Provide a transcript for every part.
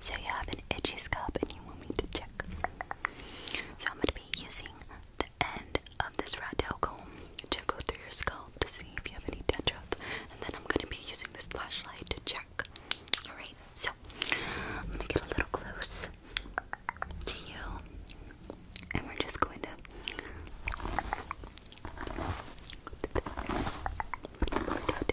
So you have an itchy scalp and you want me to check. So I'm going to be using the end of this rat tail comb to go through your scalp to see if you have any dandruff. And then I'm going to be using this flashlight to check. Alright, so I'm going to get a little close to you. And we're just going to... Go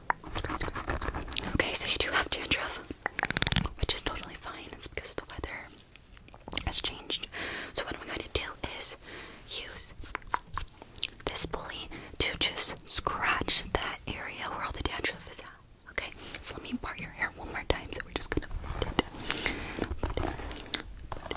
Okay, so you do have dandruff, which is totally fine. It's because the weather has changed. So what I'm going to do is use this bully to just scratch that area where all the dandruff is at. Okay, so let me part your hair one more time. So we're just gonna put it, put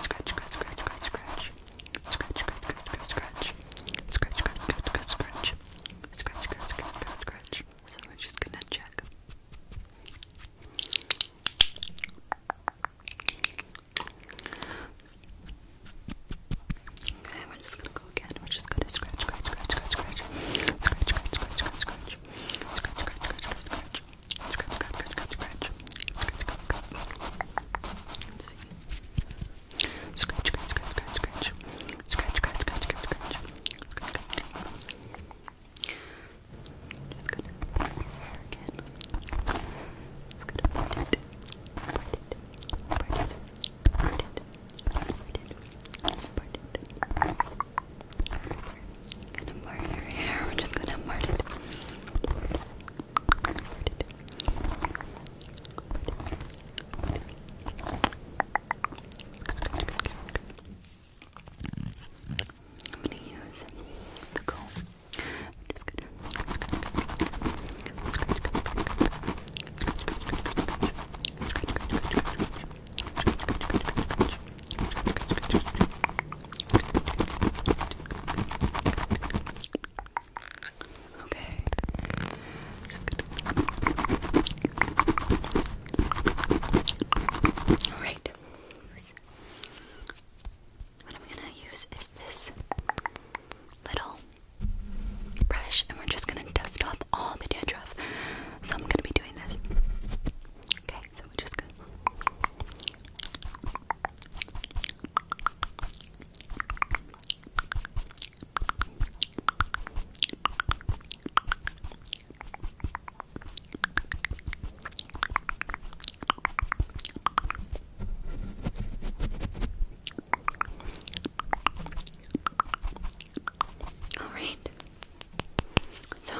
Scratch, scratch, scratch, scratch, scratch. Scratch, scratch, scratch, scratch, scratch. Scratch, scratch, scratch, scratch, scratch. Scratch, scratch, scratch, scratch, scratch. So we're just gonna check. Okay, we're just gonna go again. We're just gonna scratch, scratch, scratch, scratch, scratch. Scratch, scratch, scratch, scratch, scratch. Scratch, scratch, scratch, scratch, scratch. Scratch, scratch, scratch, scratch. Let's see. Scratch, scratch, scratch, scratch, scratch. Scratch, scratch, scratch, scratch, scratch. Just gonna put it here again. Just gonna part it. Part it. Part it. Part it. Part it. Part it. Part it. Gonna part your hair. We're just gonna part it. Part it. I'm gonna use the comb. I'm just gonna Okay. Just gonna... Alright. What I'm gonna use is this little brush, and we're just gonna dust off all the dead stuff. So I'm gonna be doing this. Okay, so just gonna all right. So,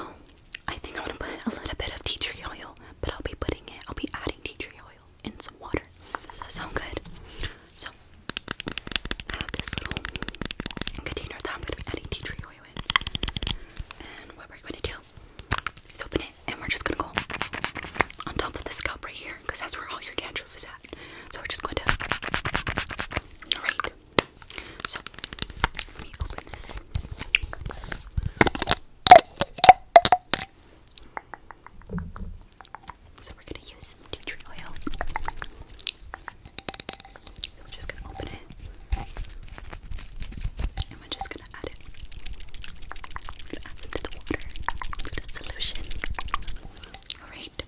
I think I'm gonna put a little bit of tea tree oil, but I'll be putting it. I'll be adding tea tree oil in some water. Does that sound good? So, I have this little container that I'm going to be adding tea tree oil in. And what we're going to do is open it and we're just going to go on top of the scalp right here that's where all your dandruff is at. So, we're just going to. Alright. So, let me open this. So we're gonna use tea tree oil. we're just gonna open it. And we're just gonna add it. Gonna add it to the water, to the solution. Alright.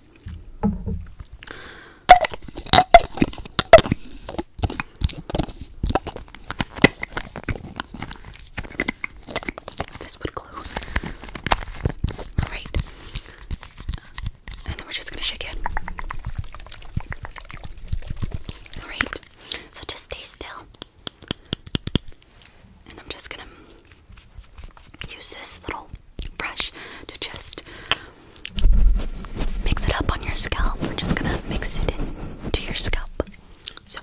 This would close. Alright. And then we're just gonna shake it. Alright. So just stay still. And I'm just gonna use this little brush to just mix it up on your scalp. We're just gonna mix it into your scalp. So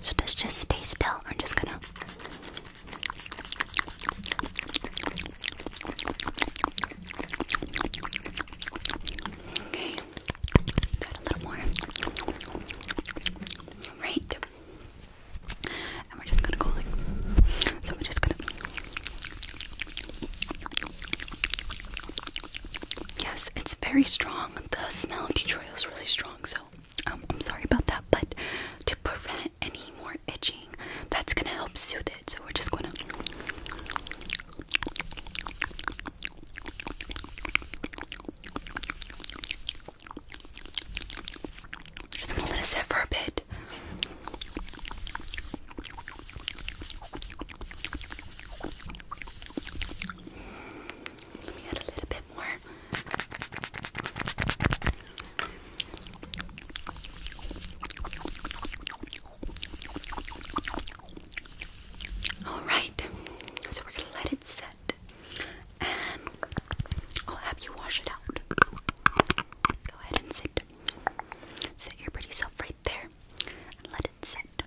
so let's just stay still. I'm just gonna. Okay. Add a little more. Right. And we're just gonna go like. So we're just gonna. Yes, it's very strong. The smell of Detroit is really strong, so um, I'm sorry about that. But to prevent any more itching, that's gonna help soothe it. So we're just gonna. Just gonna let it sit for a bit. Let me add a little bit more. All right, so we're gonna let it set, and I'll have you wash it out. Go ahead and sit. Sit your pretty self right there, and let it set.